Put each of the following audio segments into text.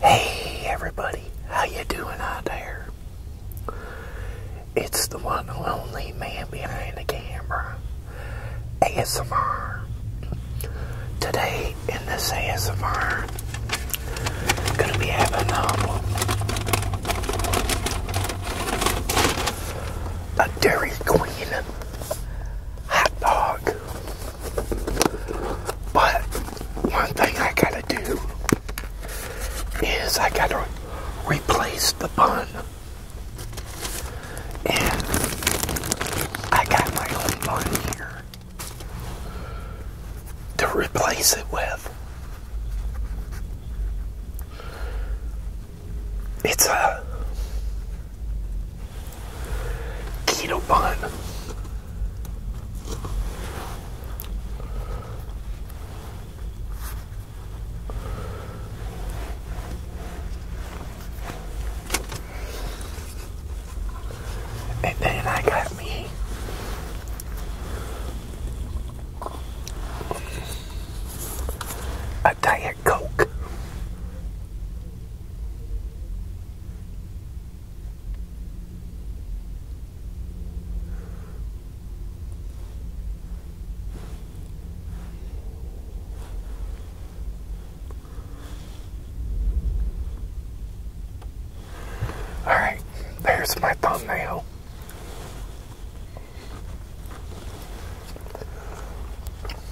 Hey everybody, how you doing out there? It's the one and only man behind the camera, ASMR. Today in this ASMR, gonna be having um, a Dairy Queen hot dog. But one thing I gotta do is I gotta replace the bun. And I got my own bun here to replace it with. It's a Keto bun. And then I got me a Diet Coke. All right, there's my thumbnail.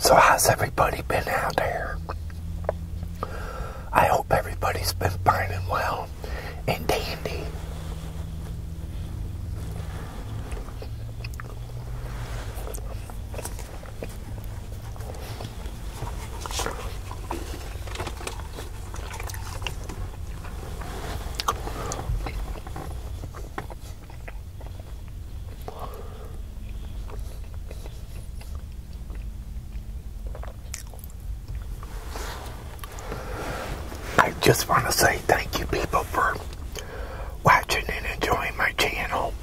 So, how's everybody been out there? I hope everybody's been fine and well and dandy. I just want to say thank you people for watching and enjoying my channel.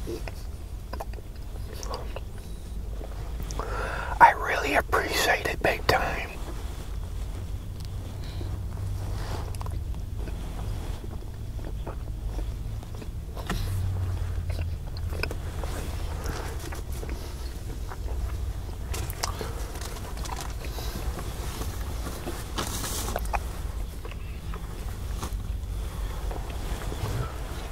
I really appreciate it big time.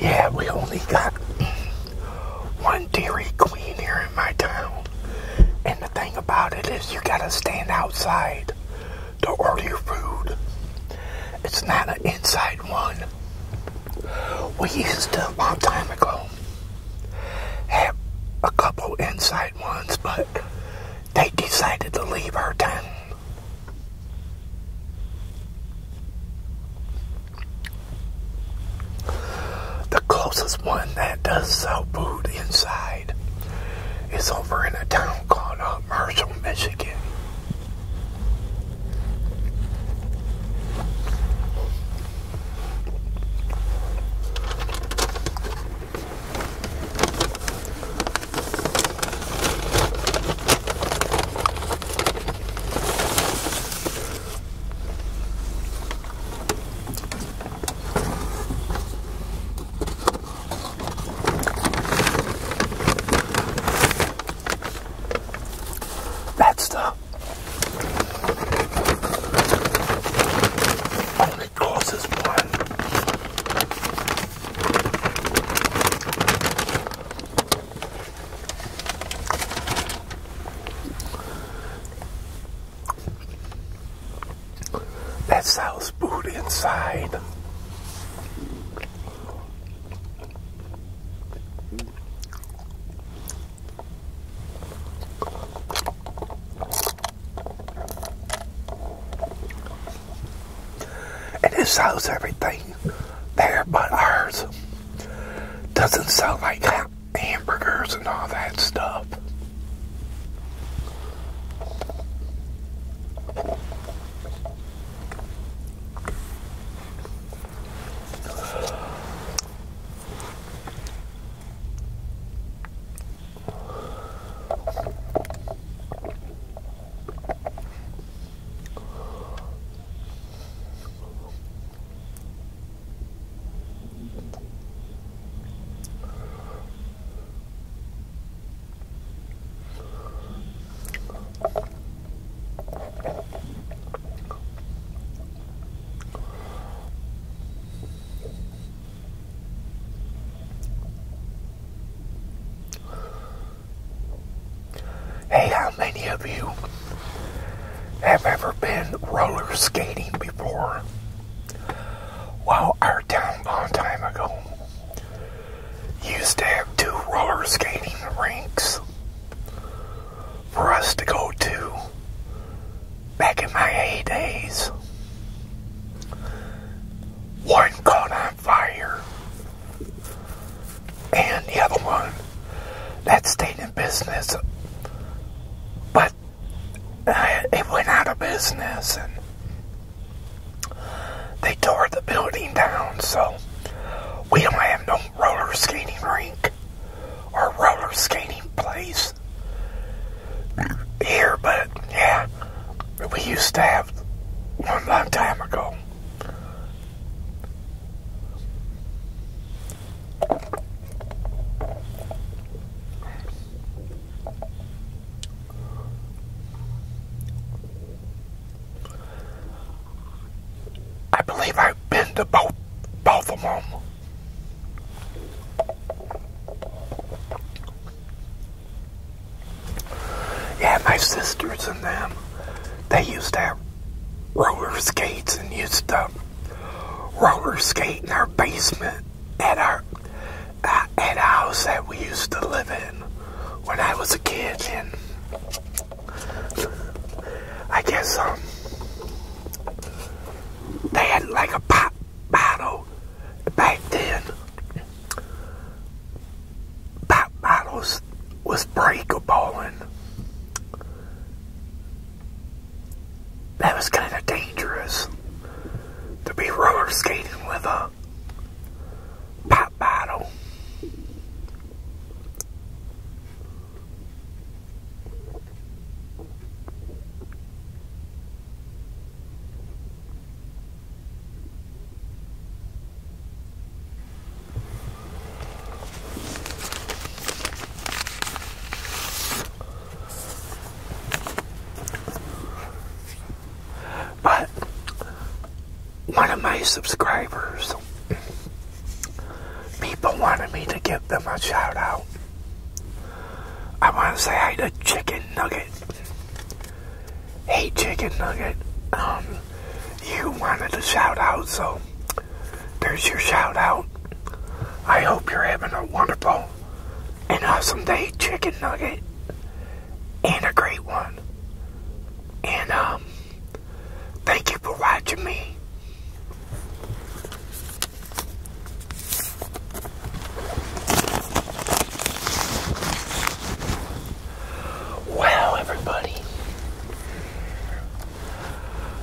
Yeah, we only got one Dairy Queen here in my town. And the thing about it is you gotta stand outside to order your food. It's not an inside one. We used to, a long time ago, have a couple inside ones, but they decided to leave our town. The closest one that does sell food inside is over in a town called uh, Marshall, Michigan. That's the only causes why that South food inside. And it sells everything there but ours. Doesn't sound like that hamburgers and all that stuff. Hey, how many of you have ever been roller skating before. Well, our town a long time ago used to have two roller skating rinks for us to go to back in my heydays. One caught on fire, and the other one that stayed in business, but it went out of business and they tore the building down, so we don't have no roller skating rink or roller skating place here, but yeah, we used to have one long time ago. I believe I've been to both both of them. Yeah, my sisters and them, they used to have roller skates and used to roller skating our basement at our uh, at a house that we used to live in when I was a kid and I guess um they had like a pop bottle back then pop bottles was breakable and that was kind of dangerous to be roller skating with a pop bottle. But one of my subscribers, people wanted me to give them a shout out. I want to say hi to Chicken Nugget. Hey, Chicken Nugget, um, you wanted a shout out, so there's your shout out. I hope you're having a wonderful and awesome day, chicken nugget, and a great one. And um, thank you for watching me. Wow, everybody.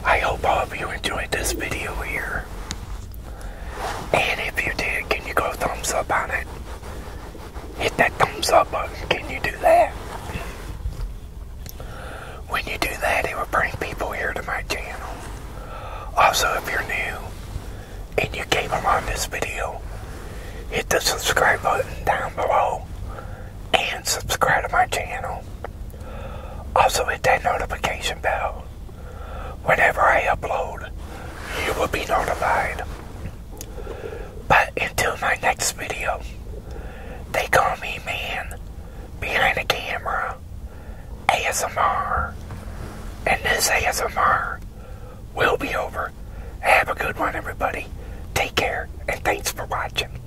I hope all of you enjoyed this video here. And if you did, can you go thumbs up on it? Hit that thumbs up button. Can you do that? When you do that, it will bring people here to my channel. Also, if you're new and you came along this video, hit the subscribe button down below and subscribe to my channel. Also hit that notification bell. Whenever I upload, you will be notified. But until my next video, they call me man behind the camera, ASMR. And this ASMR will be over. Have a good one, everybody. Take care, and thanks for watching.